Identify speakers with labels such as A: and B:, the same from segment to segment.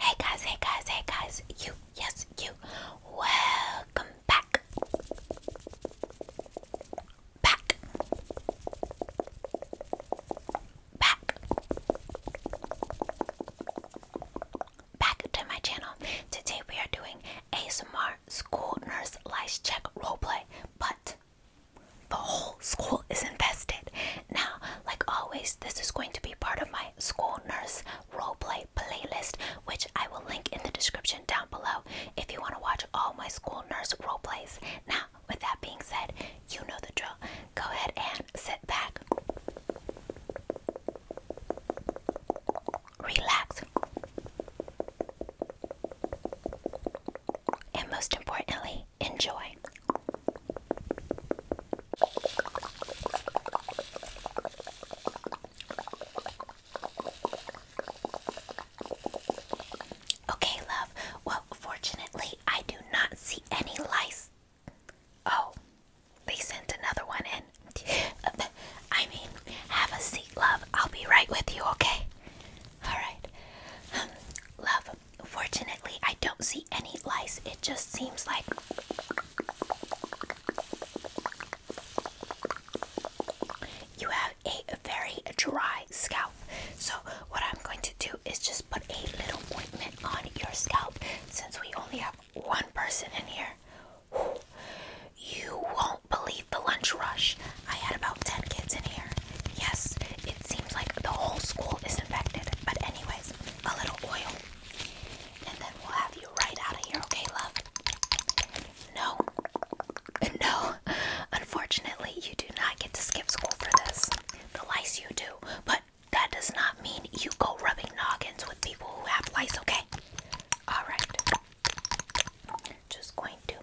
A: Hey guys, hey guys, hey guys, you, yes, you, welcome back. Back. Back. Back to my channel. Today we are doing a smart School Nurse Lice Check role play, but the whole school is invested. Now, like always, this is going to be part of my school nurse roleplay playlist, which I will link in the description down below if you want to watch all my school nurse roleplays. Now, with that being said, you know the drill. Go ahead and sit back, relax, and most importantly, Enjoy. Okay, love. Well, fortunately, I do not see any lice. Oh, they sent another one in. I mean, have a seat, love. I'll be right with you, okay? Alright. Um, love, Fortunately, I don't see any lice. It just seems like you have a very dry scalp. So, what I'm going to do is just put a little ointment on your scalp since we only have one person in here. You won't believe the lunch rush. I had about 10 kids in here. Yes, it seems like the whole school is infected. But anyways, a little oil. And then we'll have you right out of here, okay, love? No. No. Unfortunately, you do not get to skip school for this. The lice you do. But that does not mean you go rubbing noggins with people who have lice, okay? Alright. Just going to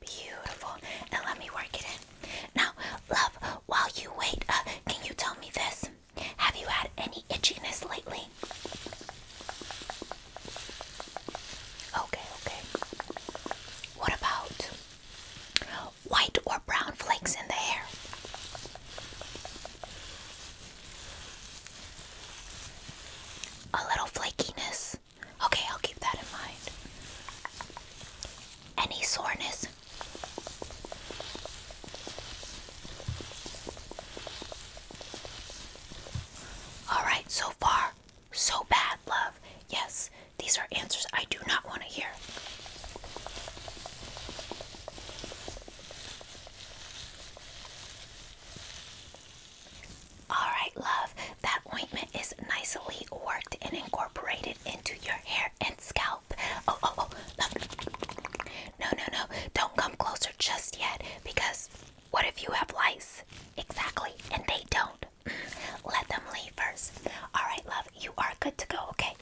A: Beautiful. Now let me work it in. Now, love, while you wait, uh, can you tell me this? Have you had any itchiness lately? Okay, okay. What about white or brown flakes in the hair? A little flakiness. Okay, I'll keep that in mind. Any soreness? Alright, so far, so bad, love. Yes, these are answers I do not want to hear. Alright, love, that ointment is nicely worked and incorporated into your hair and scalp. Oh, oh, oh, love. No, no, no, don't come closer just yet because what if you have lice? Exactly, and they don't. Mm. Let them leave first. Alright, love, you are good to go, okay?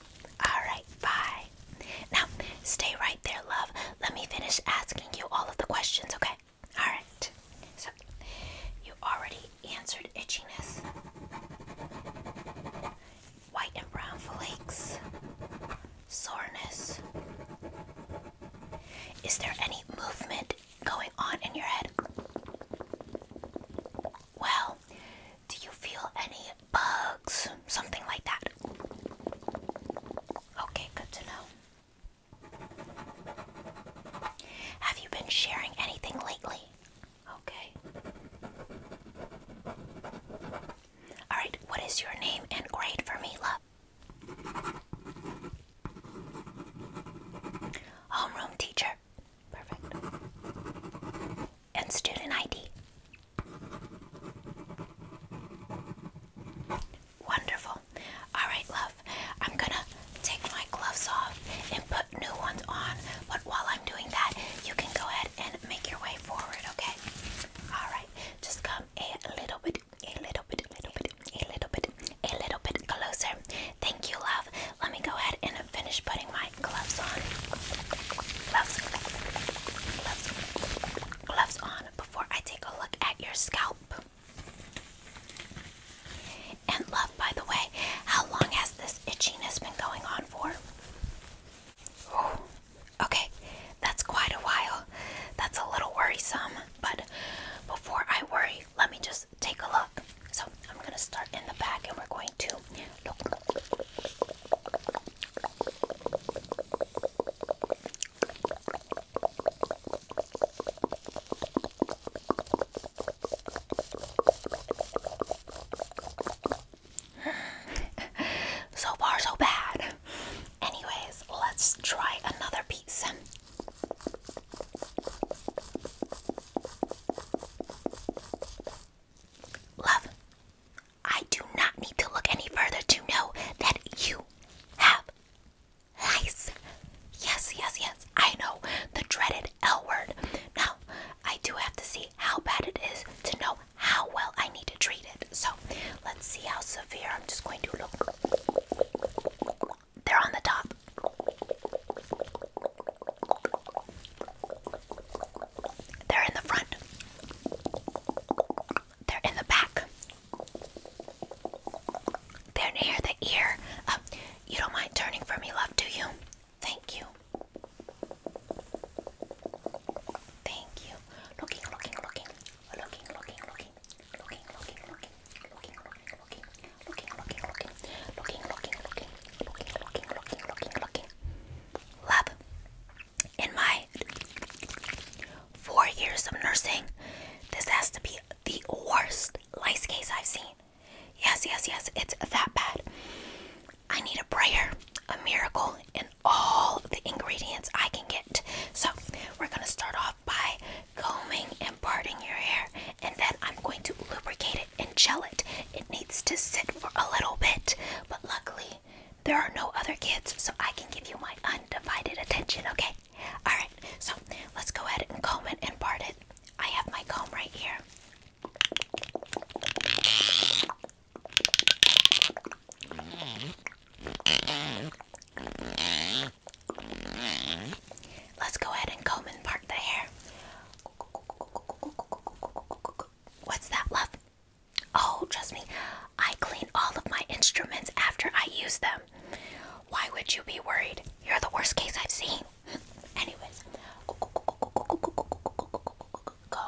A: Alright, bye. Now, stay right there, love let me finish asking you all of the questions, okay? Alright. So, you already answered itchiness, white and brown flakes, soreness. Is there any movement going on in your head? Well, do you feel any bugs? Something like that. Okay, good to know. Have you been sharing anything lately? Okay. Alright, what is your name and grade for me, love? Homeroom teacher. Perfect. And student ID. Wonderful. All right, love. I'm gonna take my gloves off and put new ones on. But while I'm doing that, you can go ahead and make your way forward, okay? All right. Just come a little bit, a little bit, a little bit, a little bit, a little bit closer. Thank you, love. Let me go ahead and finish putting my gloves on. Gloves. Gloves. Gloves on before I take a look at your scalp. And love, by the way, how long has this itchiness been going on for? okay, that's quite a while. That's a little worrisome, but before I worry, let me just take a look. So I'm going to start in the back and we're going to so far, so bad. Anyways, let's try another piece. Love, I do not need to look any further to know that you have lice. Yes, yes, yes. I know the dreaded L word. Now, I do have to see how bad it is to know how well I need to treat it. So, let's see how severe. I'm just going to look. They're on the top. They're in the front they're in the back. They're near the ear. Um, you don't mind turning for me, love, do you? Thank you. Thank you. looking, looking, looking, looking, looking, looking, looking, looking, looking, looking, looking, looking, looking, looking, looking, looking, looking, looking, love in my four years of nursing, this has to be the worst lice case I've seen. Yes, yes, yes, it's that bad. I need a prayer, a miracle, and all the ingredients I can get. So, we're gonna start off by combing and parting your hair, and then I'm going to lubricate it and gel it. It needs to sit for a little bit, but luckily, there are no other kids, so I can give you my undivided attention, okay? Alright, so let's go ahead and comb it and part it. I have my comb right here. Let's go ahead and comb and part the hair. What's that, love? Oh, trust me, I clean all of my instruments after I use them. Why would you be worried? You're the worst case I've seen. Anyways, go.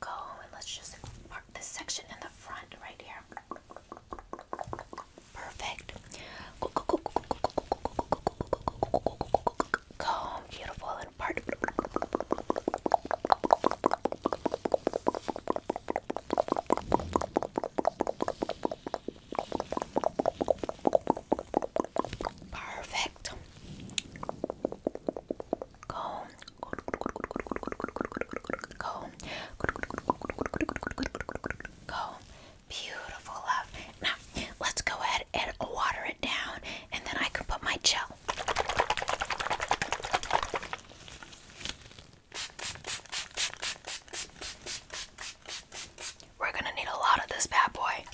A: Go and let's just mark this section in the front right here. Perfect. Comb, beautiful, and part. Perfect. Go. Go. Go. Beautiful love. Now, let's go ahead and water it down, and then I can put my gel we're gonna need a lot of this bad boy.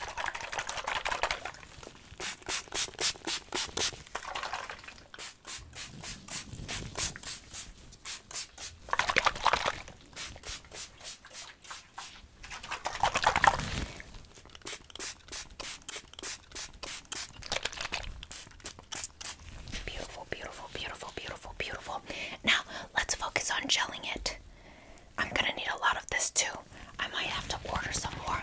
A: Beautiful, beautiful, beautiful, beautiful, beautiful. Now let's focus on gelling it. I'm gonna need a lot of this too. I might have to order some more.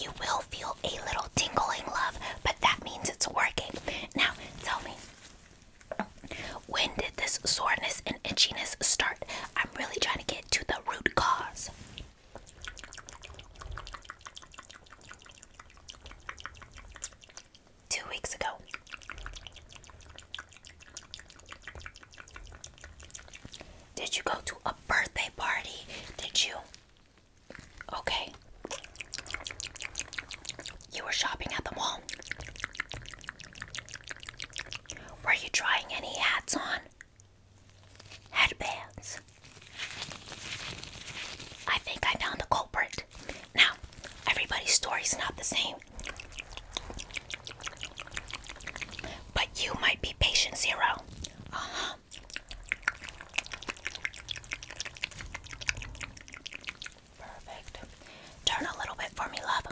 A: You will feel a little tingling, love, but that means it's working. Now tell me, when did this soreness and itchiness start? I'm really trying to get to the root cause. Two weeks ago. Did you go to a birthday party? Did you? Okay. You were shopping at the mall. Were you trying any hats on? headbands. I think I found the culprit. Now, everybody's story's not the same. But you might be patient zero. Uh huh. Perfect. Turn a little bit for me, love.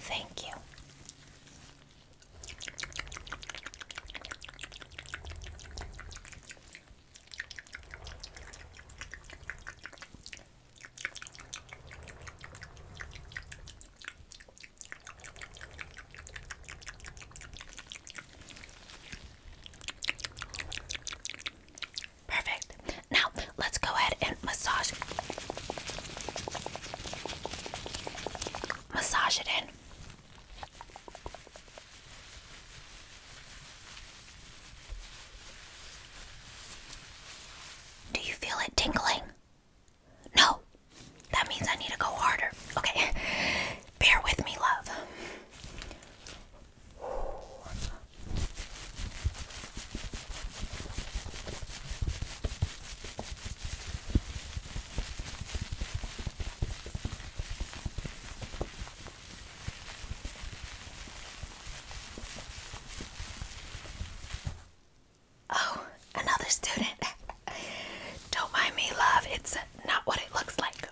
A: Thank you. Perfect. Now let's go ahead and massage massage it in. Do you feel it tingling? No. That means I need to go harder. Okay. Bear with me, love. Oh, another student. Don't mind me, love. It's not what it looks like.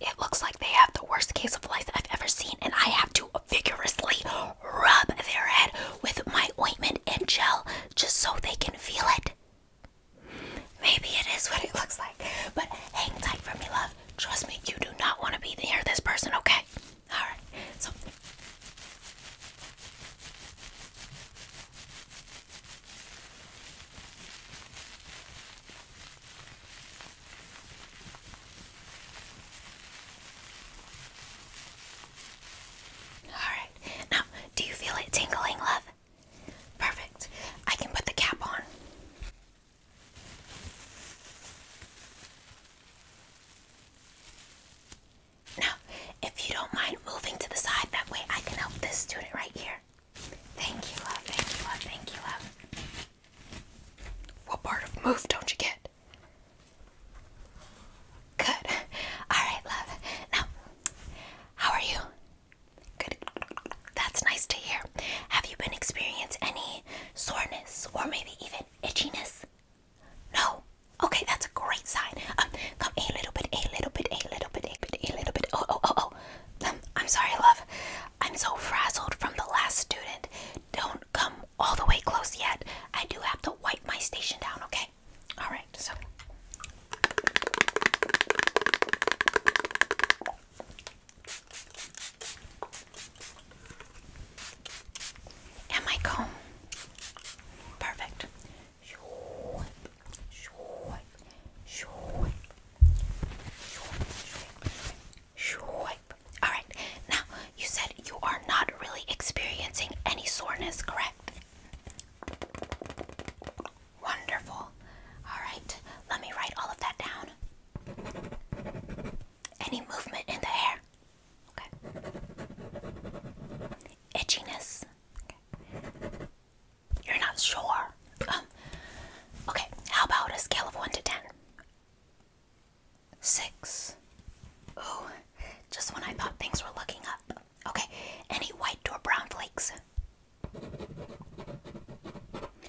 A: It looks like they have the worst case of lice I've ever seen, and I have to vigorously rub their head with my ointment and gel just so they can feel it. Maybe it is what it looks like, but hang tight for me, love. Trust me, you do not want to be near this person, okay? Alright, so. Alright, now, do you feel it tingling, love? Perfect. I can put the cap on. Now, if you don't mind moving to the side, that way I can help this student right here. Thank you, love. Thank you, love. Thank you, love. What part of move don't you get? Good. All right, love. Now, how are you? Good. That's nice to hear. Have you been experiencing any soreness or maybe even itchiness? No. Okay, that's a great sign. Um, come a little bit, a little bit, a little bit, a bit, a little bit. Oh, oh, oh, oh. Um, I'm sorry, love. I'm so frazzled from the last student. Don't come all the way close yet. I do have to wipe my station down, okay? all right, so and my comb. Perfect. All right. Now you said you are not really experiencing any soreness, correct? Wonderful. Alright, let me write all of that down. Any movement in the hair? Okay. Itchiness? Okay. You're not sure? Um, okay, how about a scale of 1 to 10? 6. Ooh, just when I thought things were looking up. Okay, any white or brown flakes?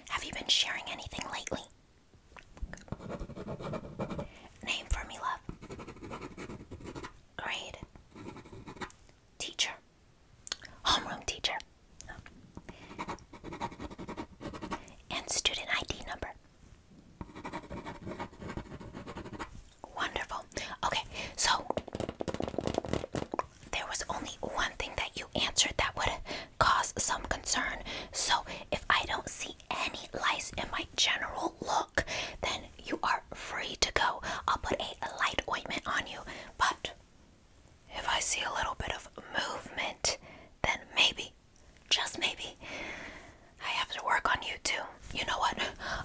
A: Have you been sharing anything lately? Name for me, love. Grade. Teacher. Homeroom teacher. And student ID number. Wonderful. Okay, so there was only one thing that you answered that would cause some concern. So if I don't see any lice in my general look, then you are free to go. I'll put a light ointment on you, but if I see a little bit of movement, then maybe, just maybe, I have to work on you too. You know what?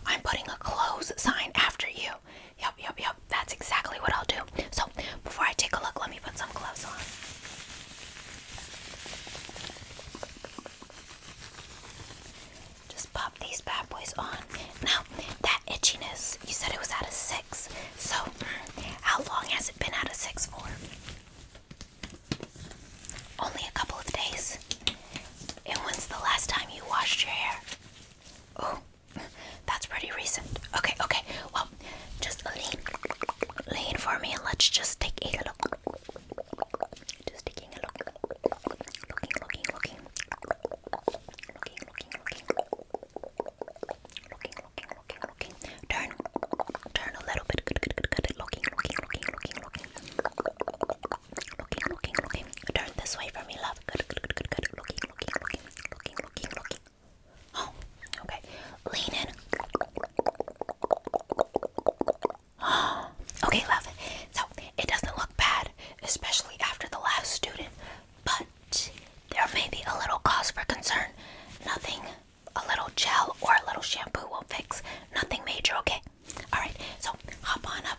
A: I'm putting a close sign after you. Yep, yep, yep. That's exactly what I'll do. So, before I take a look, let me put some gloves on. Just pop these bad boys on. Now, that itchiness, you said it was out of six. So, how long has it been out of six for? Only a couple of days. And when's the last time you washed your hair? Oh, that's pretty recent. Okay, okay. Well, just lean, lean for me, and let's just take a look. Just taking a look, looking, looking, looking, looking, looking, looking, looking, looking, looking, looking. Turn, turn a little bit. Good, good, good, good. Looking, looking, looking, looking, looking, looking, looking, looking. Turn this way for me, Good, good, good, good, good. Looking, looking, looking, looking, looking, looking. Oh, okay. Lean in. Oh, okay, love. So it doesn't look bad, especially after the last student, but there may be a little cause for concern. Nothing a little gel or a little shampoo will fix. Nothing major, okay? Alright, so hop on up.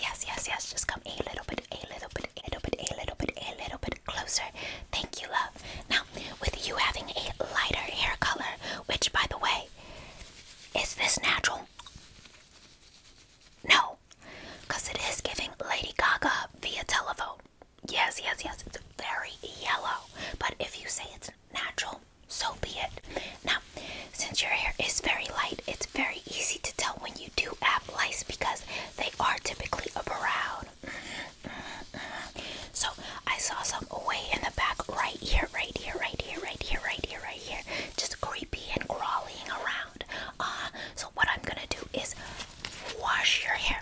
A: Yes, yes, yes. Just come a little bit a little bit, a little bit, a little bit, a little bit closer. Thank you, love. Now, with you having a lighter hair color, which by the way, is this natural? No, because it is giving Lady Gaga via telephone. Yes, yes, yes, it's very yellow. But if you say it's natural, so be it. Now, since your hair is very light, it's very very easy to tell when you do have lice because they are typically brown. Mm -hmm, mm -hmm. So I saw some away in the back, right here, right here, right here, right here, right here, right here, just creepy and crawling around. Uh, so what I'm gonna do is wash your hair.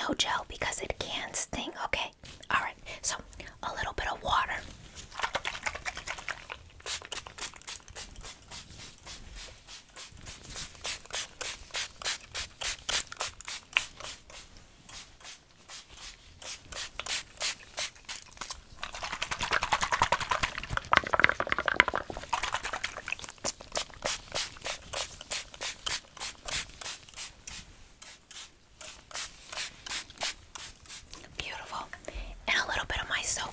A: No gel because it can sting. Okay. All right. So a little bit of water. Beautiful, and a little bit of my soap.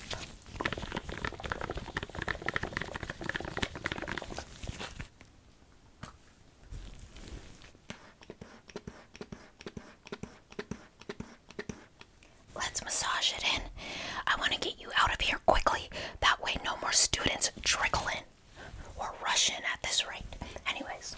A: Let's massage it in. I want to get you out of here quickly. That way, no more students trickle in or rush in at this rate. Anyways.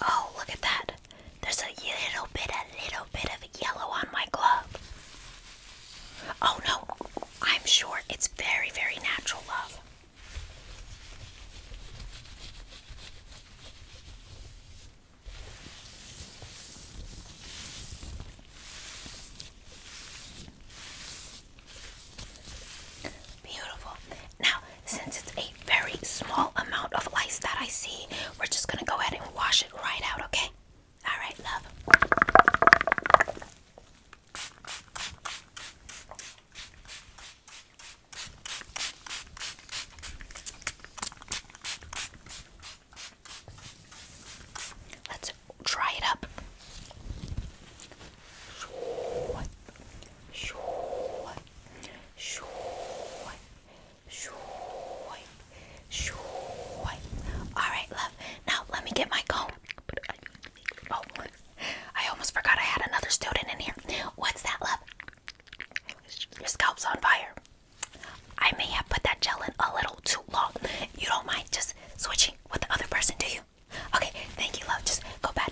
A: Oh, look at that. There's a little bit, a little bit of yellow on my glove. Oh no, I'm sure it's very, very natural love. Beautiful. Now, since it's a very small amount of lice that I see, we're just gonna go ahead and wash it right out, okay? Alright, love. Let's try it up. All right, love. Now let me get my comb. Oh, I almost forgot I had another student in here. What's that, love? Your scalp's on fire. I may have put that gel in a little too long. You don't mind just switching with the other person, do you? Okay, thank you, love. Just go back.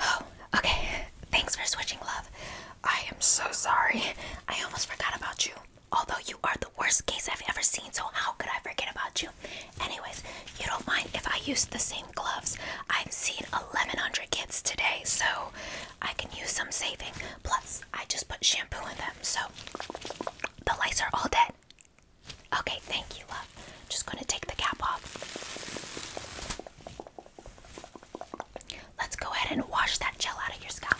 A: Oh, okay. Thanks for switching, love. I am so sorry. I almost forgot about you. Although you are the worst case I've ever seen, so how could I forget about you? Anyways, you don't mind if I use the same gloves. I've seen 1,100 kids today, so I can use some saving. Plus, I just put shampoo in them, so the lights are all dead. Okay, thank you, love. Just gonna take the cap off. Let's go ahead and wash that gel out of your scalp.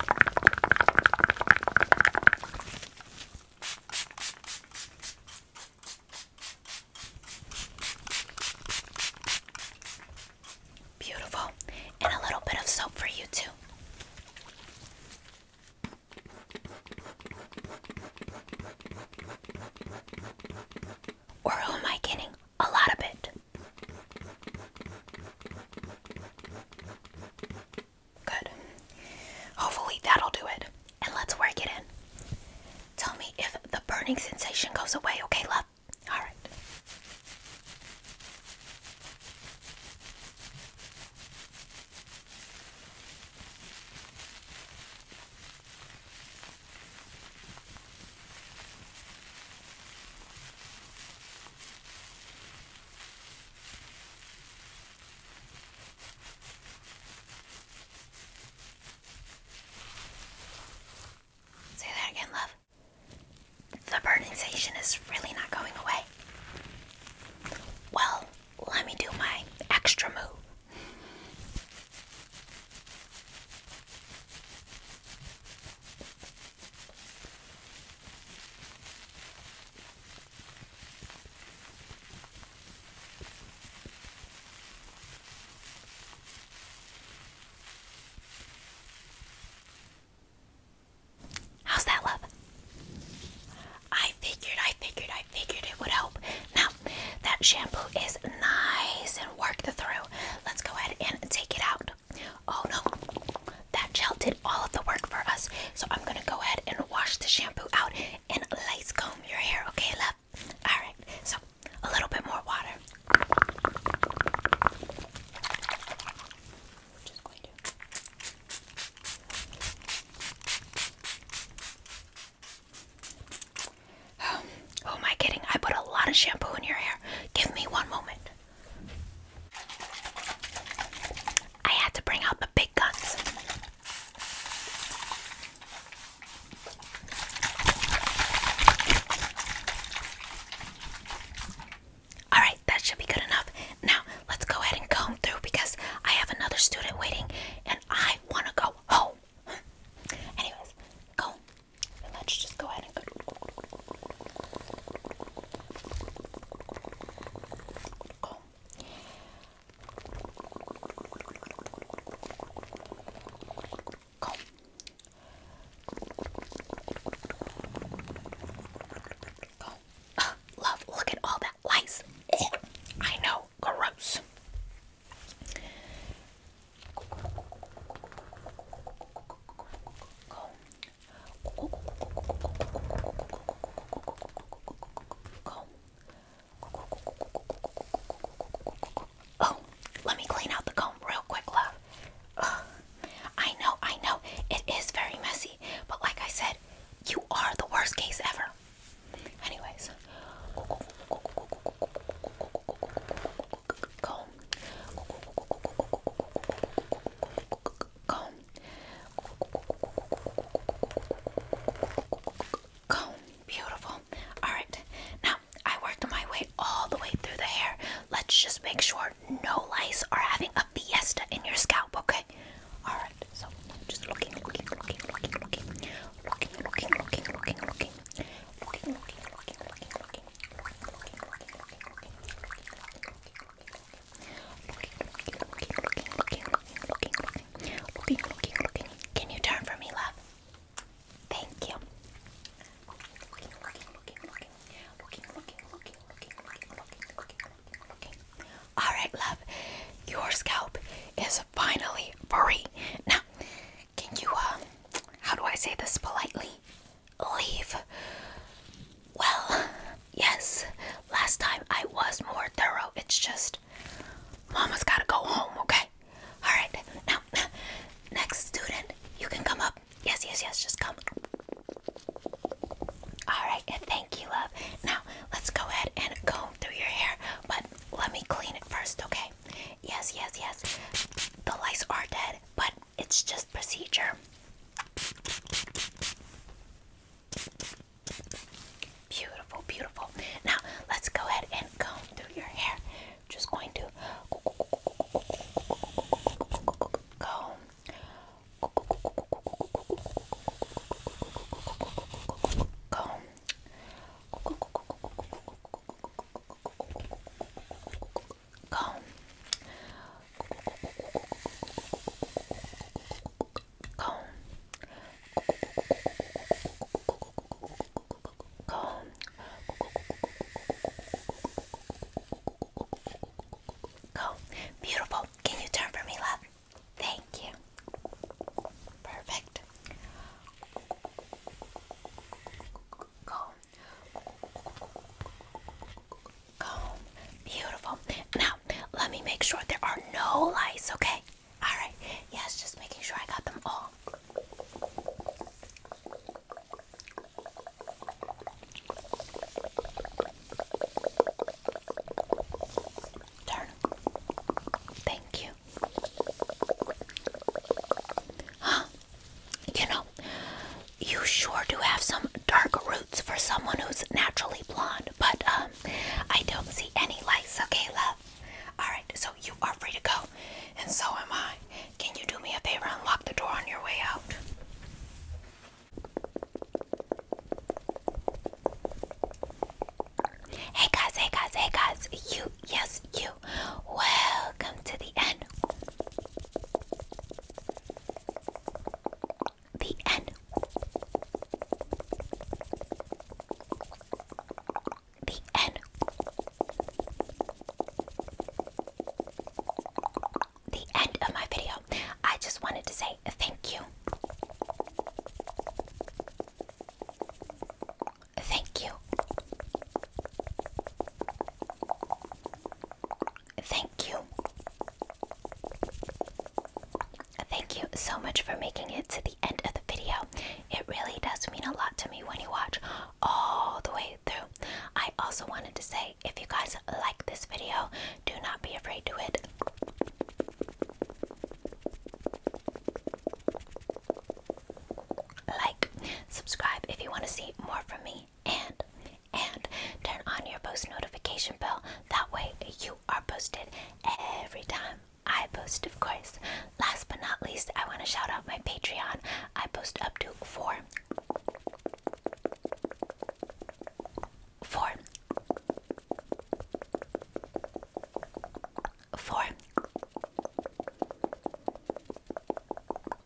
A: Beautiful. And a little bit of soap for you, too. Or am I kidding? A lot of it. Good. Hopefully that'll do it. And let's work it in. Tell me if the burning sensation goes away, okay, love? All right. Say that again, love. The burning sensation is really not going away. Well, let me do my extra move. How's that, love? I figured, I figured, I figured it would help. Now, that shampoo is nice and worked the through. Let's go ahead and take it out. Oh no, that gel did all of the work for us. So I'm going to go ahead and wash the shampoo out and a us comb your hair, okay, love? Alright, so a little bit more water. just going to. Oh, am I kidding? I put a lot of shampoo in your hair. Give me one moment. I had to bring out the big guns. Alright, that should be good enough. Now, let's go ahead and comb through because I have another student waiting and I want to go home. Anyways, go. let's just go ahead and Comb. Come. Come. Uh, love, look at all that lice. I know, gross. Go. Go. Go. Oh, let me clean out the comb real quick, love. I know, I know, it is very messy, but like I said, you are the worst case ever. Anyways, comb, comb, comb. Beautiful. Alright, now I worked my way all the way through the hair. Let's just make sure no lice are having a fiesta in your scalp, okay? Alright, so just looking, looking, looking, looking, looking, looking, looking, looking, looking, looking, looking, looking, looking, looking, looking. Looking, looking, looking, looking, looking, looking, looking, looking, looking, looking, looking. Can you turn for me, love? Thank you. All right, love. Your scalp is finally free. Now, can you uh, How do I say this politely? Leave. Well, yes. Last time I was more thorough. It's just mama Mama's gotta go home, okay? Alright, now, next student, you can come up. Yes, yes, yes, just come. Alright, thank you, love. Now, let's go ahead and comb through your hair, but let me clean it first, okay? Yes, yes, yes. The lice are dead, but it's just procedure. Beautiful, beautiful. Now let's go ahead and comb through your hair. I'm just going to comb. Comb. Comb comb, comb, comb. Beautiful. Can you turn for me, love? Thank you. Perfect. Comb, comb. Beautiful. Now, let me make sure there are no lice, okay? Alright, yes, just making sure I got them all. Turn. Thank you. Huh? You know, you sure do have some dark roots for someone who's naturally blonde, but um, I don't see any lights. Okay, love. Alright, so you are free to go, and so am I. Can you do me a favor and lock the door on your way out? Hey guys, hey guys, hey guys, you, yes, you. Welcome to the end. The end the N. The end of my video. I just wanted to say thank you. Thank you. Thank you. Thank you so much for making it to the end of the video it really does mean a lot to me when you watch all the way through. I also wanted to say if you guys like this video, do not be afraid to hit like, subscribe if you want to see more from me, and and turn on your post notification bell. That way you are posted every time I post, of course. Last but not least, I want to shout out my Patreon. I post up to four, four, four,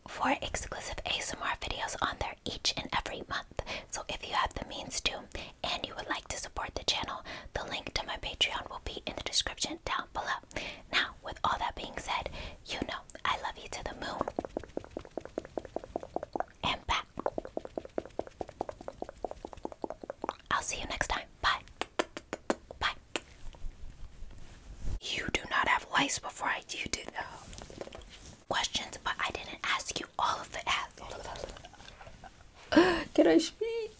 A: four exclusive ASMR videos on there each and every month. So if you have the means to, and you would like to support the channel, the link to my Patreon will be in the description down below. Now, with all that being said, you know I love you to the moon and back. I'll see you next time. Bye. Bye. You do not have lice before I do uh, questions, but I didn't ask you all of the. Can I speak?